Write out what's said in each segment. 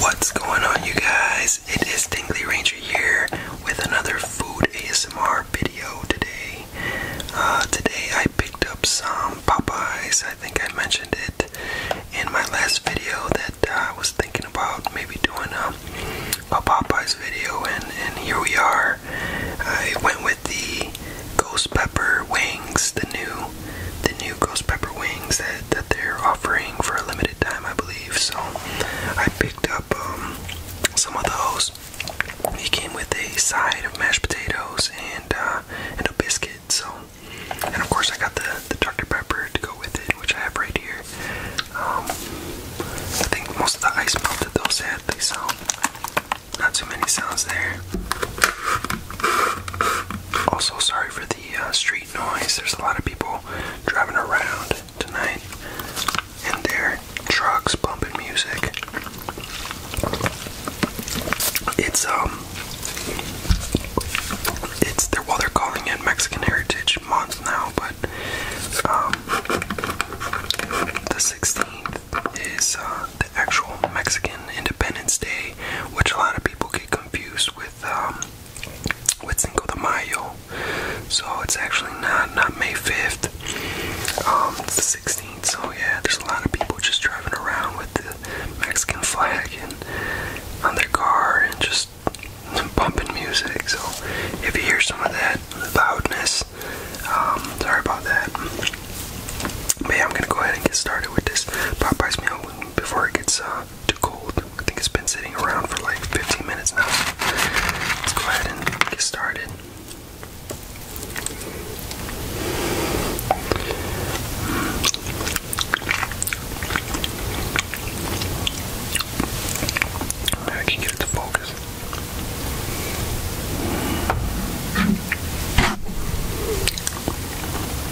What's going on, you guys? It is Tingly Ranger here with another food ASMR video today. Uh, today I picked up some Popeyes. I think I mentioned it in my last video that I was thinking about maybe doing a, um, a Popeyes video, and, and here we are. I went with the Ghost Pepper Wings, the new the new ghost pepper wings that, that they're offering for a limited time, I believe. So I picked up um, some of those. It came with a side of mashed potatoes and uh, and a biscuit. So and of course I got the the Dr Pepper to go with it, which I have right here. Um, I think most of the ice melted though, sadly. So not too many sounds there. Also, sorry for the uh, street noise. There's a lot of people driving around tonight in their trucks bumping music. It's um it's they're well they're calling it Mexican Heritage Month now, but um the 16th is uh, the actual Mexican Independence Day, which a lot of people get confused with with um, with Cinco de Mayo, so it's actually not not May 5th. Um, it's the 16th. So yeah, there's a lot of people just driving around with the Mexican flag and on their car and just bumping music. So if you hear some of that loudness, um, sorry about that. But I'm gonna go ahead and get started with this Popeye's meal before it gets. Uh, too cold. I think it's been sitting around for like 15 minutes now. let's go ahead and get started. I can get it to focus.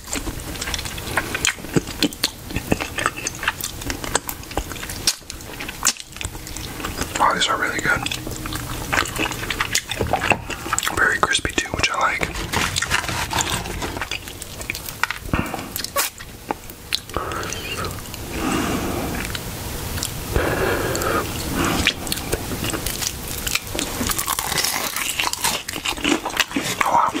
Wow, oh, these are really good. Very crispy too, which I like. Oh, wow.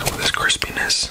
With this crispiness,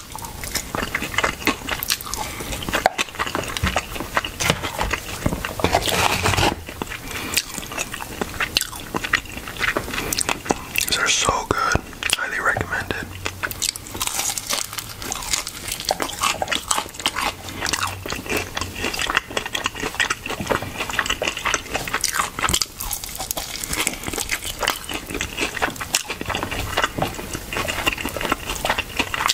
These are so good. Highly recommended.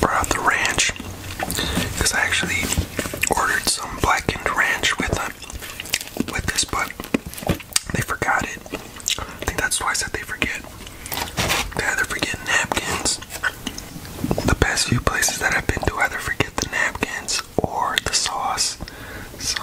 Brought the ranch because I actually ordered some blackened ranch with uh, with this, but they forgot it. I think that's why I said they forget. They either forget napkins. The past few places that I've been to either forget the napkins or the sauce. So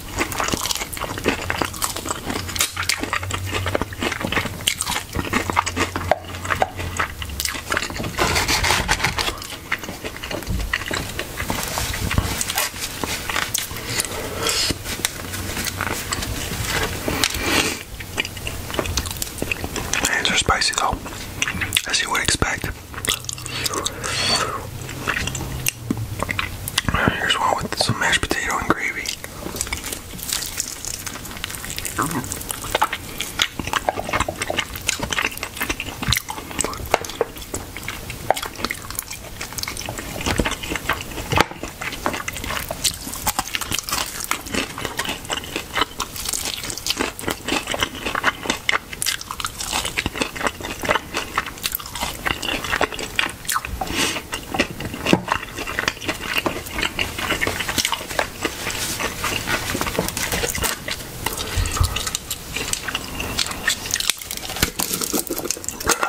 Hands are spicy though, as you would expect. Here's one with some mashed potato and gravy. Got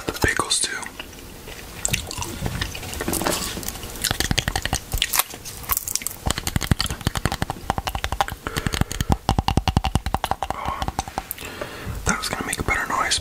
the pickles too. Um, that was gonna make a better noise.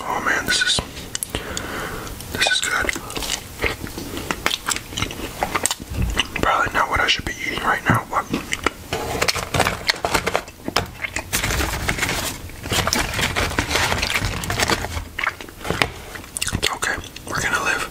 Oh man, this is this is good. Probably not what I should be eating right now, okay. We're gonna live.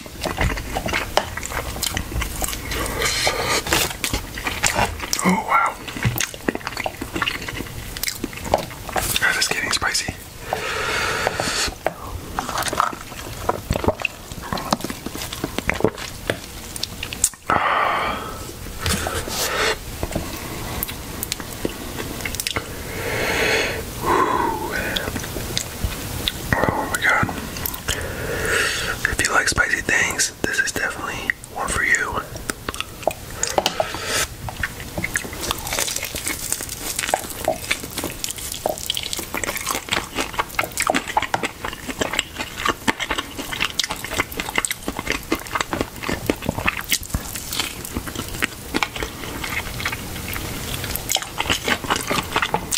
Oh wow. That is getting spicy. Oh my god. If you like spicy things, this is definitely one for you.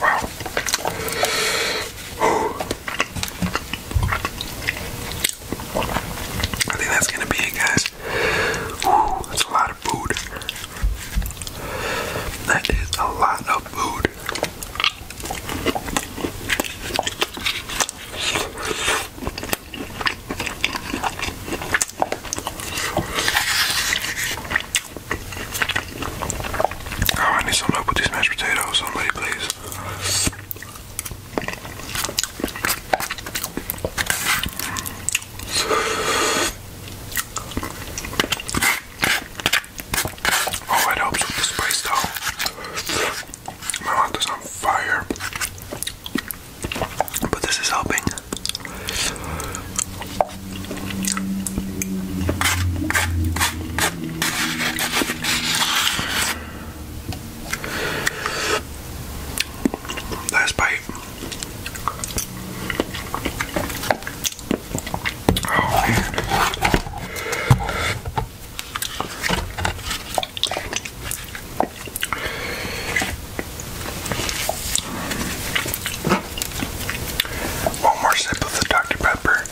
Wow. Ooh. I think that's gonna be it, guys. that's a lot of food. That is a lot of food. Oh, I need some help with these mashed potatoes. Somebody, please. Oh, it helps with the spice though. My mouth is on fire. But this is helping. Last bite. Oh, One more sip of the Dr. Pepper.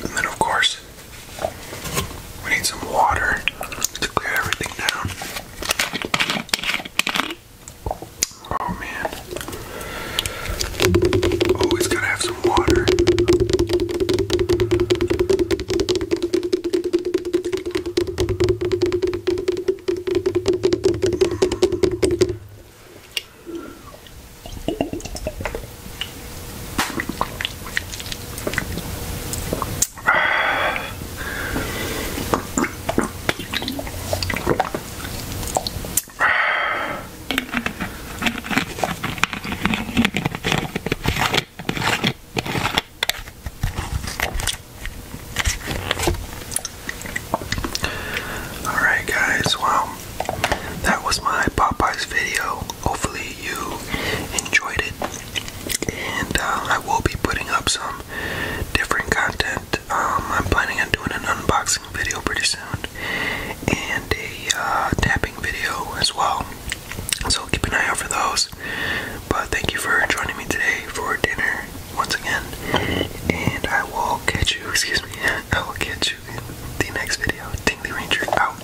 And then, of course, we need some water to clear everything down. Oh man. Always gotta have some water. Alright, guys, well, that was my Popeyes video. Hopefully, you enjoyed it. And uh, I will be putting up some different content. Um, I'm planning on doing an unboxing video pretty soon and a uh, tapping video as well. So keep an eye out for those. But thank you for joining me today for dinner once again. And I will catch you, excuse me, I will catch you in the next video. Tingly Ranger out.